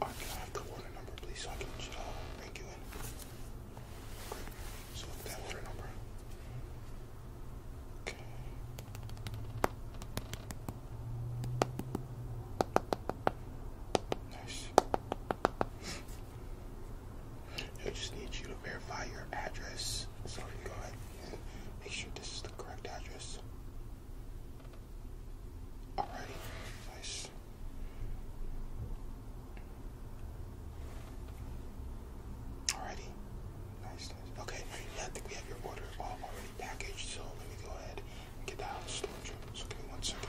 I can have the order number, please, I can should, uh, you So that order number. Okay. Nice. I just need you to verify your address, so you can go ahead and make sure this is the correct address. Alrighty, nice. Alrighty, nice, Okay, I think we have your order all already packaged, so let me go ahead and get that out of storage So give me one second.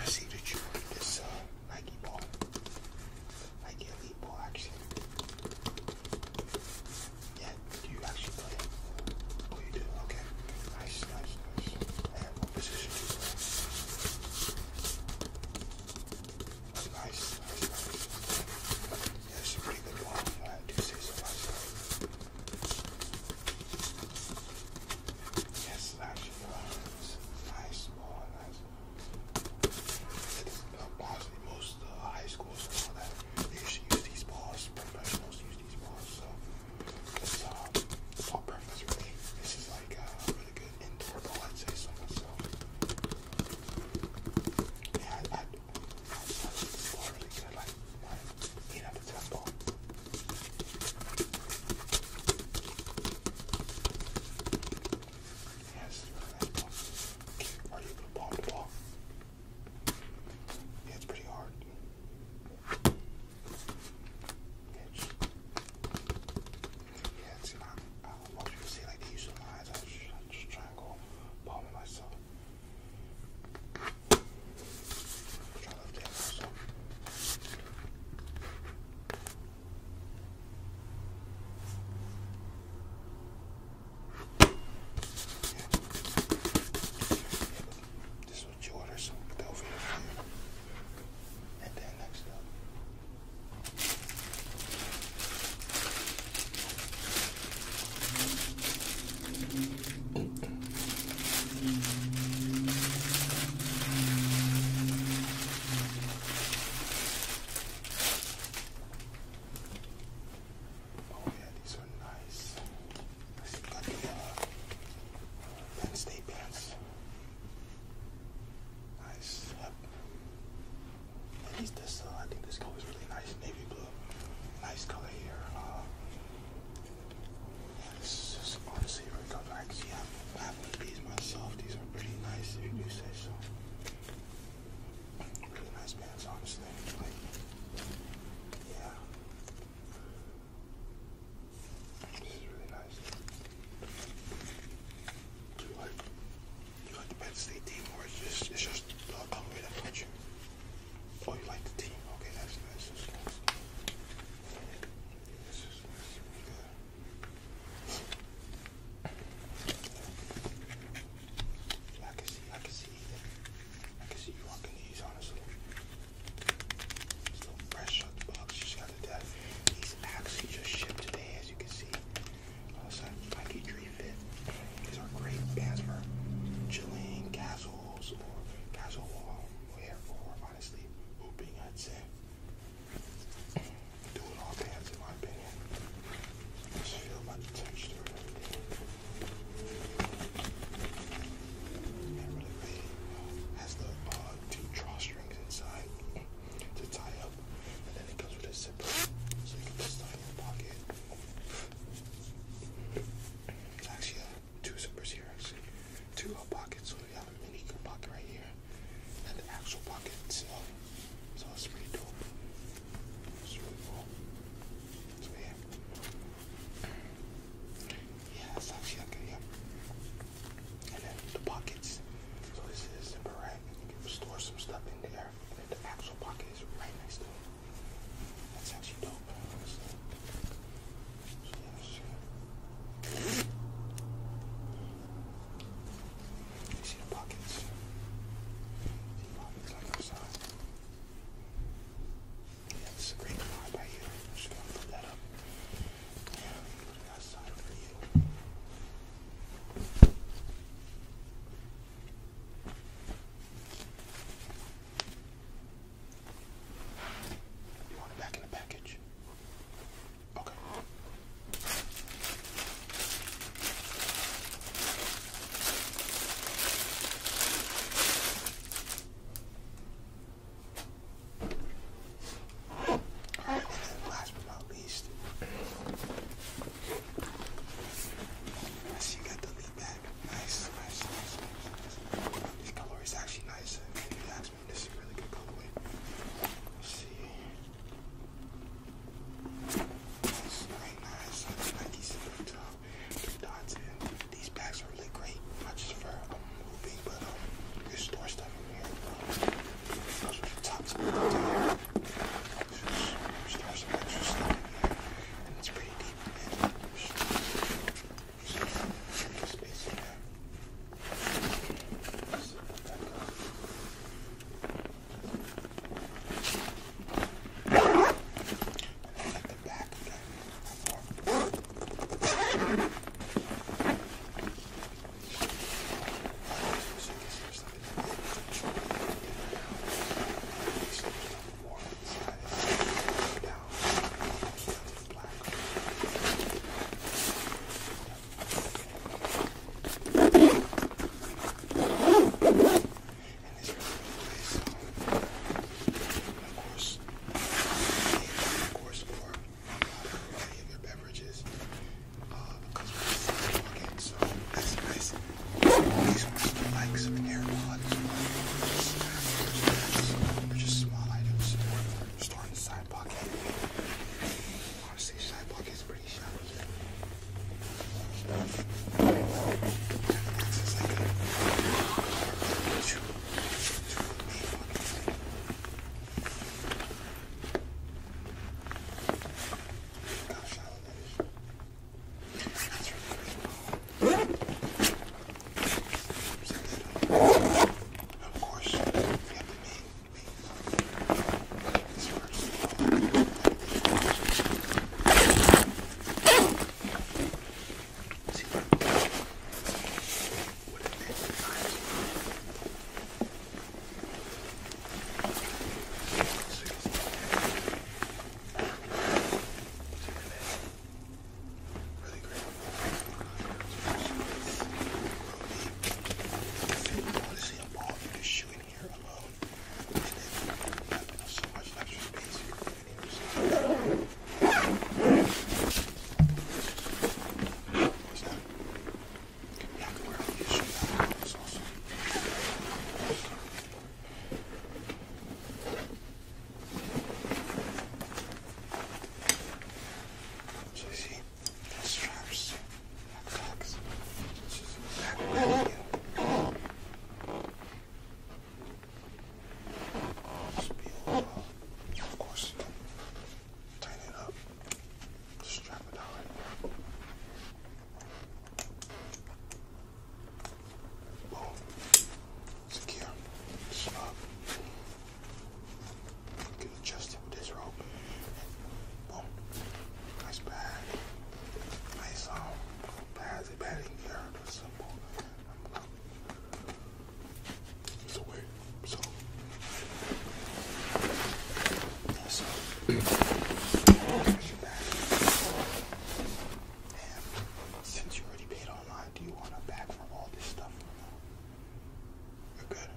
I see that you ordered this uh, Nike ball, Nike Elite ball, actually. Yeah, do you actually play it? Oh, you do? Okay. Nice, nice, nice. what position do you play? Nice, nice, a pretty good ball. do say so myself. Yes, actually, it's nice, more nice. Honestly, most uh, high schools and all that, they used to use these balls. Professionals use these balls, so this uh, ball preference really. This is like a uh, really good indoor ball, I'd say so myself. Yeah, I, I, I, I like this ball really good. Like, I eat a the temple. Yes, are you gonna ball to ball? it's pretty hard. Yeah, it's not. I don't like these lines. I just, just try and go palm myself. Which I love that also. Yeah. This is what you order, some Belvedere here. And then next up. Mm -hmm. Oh yeah, these are nice. This is got the Penn State pants. Nice. At least this, uh, I think this color is really nice, navy blue. Nice color here. Uh, it's just honestly really tough. I actually have, I have one of these myself. These are pretty nice if you do say so. Really nice pants, honestly. yeah. This is really nice. you like, the Penn State team or it's just, it's just the colorway that put you? Oh, you like the team? Okay, That's nice. I can see, I can see, I can see you rocking these, honestly. Still fresh out the box, just got to death. These actually just shipped today, as you can see. Also, Nike Tree Fit. These are great bands for chilling, castles, or castle wall. Therefore, honestly, Hooping at 10. Do it all pants, in my opinion. Just feel like texture and really, big. Uh, has the uh, two drawstrings inside to tie up, and then it comes with a zipper, so you can put stuff in your pocket. actually two zippers here, two pockets. So we have a mini pocket right here, and the actual pocket itself. So it's pretty dope. It's really cool. So yeah, it's actually okay. and then the pockets. So this is zipper right. You can store some stuff in there. And the actual pocket is right next to it. That's actually dope. You see the pockets? See the pockets like outside? Yeah, this is a great card right here. I'm just gonna put that up. Yeah, put it outside for you. All you want it back in the package? Okay. last but not least, I got the lead bag. Nice, nice, nice, This color is actually nice. this is really good colorway. see. Nice, very nice. That's Nike silver Two dots in. These packs are really great. Not just for um, moving, but um, good store stuff in here. Those are the tops of the here. There's some extra stuff in here. And it's pretty space in there. Set that back up. And then like the back again. So I guess there's like a more inside it. Down. Black. And it's really nice. Of course, of course, for a variety of your beverages, uh, because we're walking, so that's nice. These ones are like some air pods. They're just small items stored in the side pocket. Honestly, side pocket is pretty shallow. Access like that. Two, two How shallow that is. That's really cool. Of course, we have to make this first. See what what it is. Really great. Honestly, I'm all you just shoot in here alone. And then I have so much extra space here in here. What's that? Yeah, I can wear it. You shoot that. That's awesome. So you see, the straps, black flags, this is black here. Of course, you can tighten it up, strap it down right there. Boom. Secure. Snug. Get adjusted with this rope. Boom. Nice pad. Nice um pads and padding here. That's simple. I'm so wait. So yeah, so and since you already paid online, do you want a bag from all this stuff or no? You're good.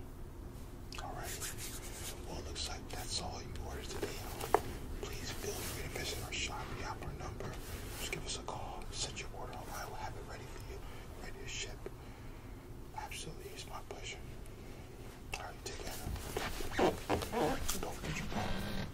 Alright. Well, looks like that's all you ordered today. Please feel free to visit our shop. We have our number. Just give us a call. Set your order online. I will have it ready for you. Ready to ship. Absolutely. It's my pleasure. Alright, take care. Don't forget your phone.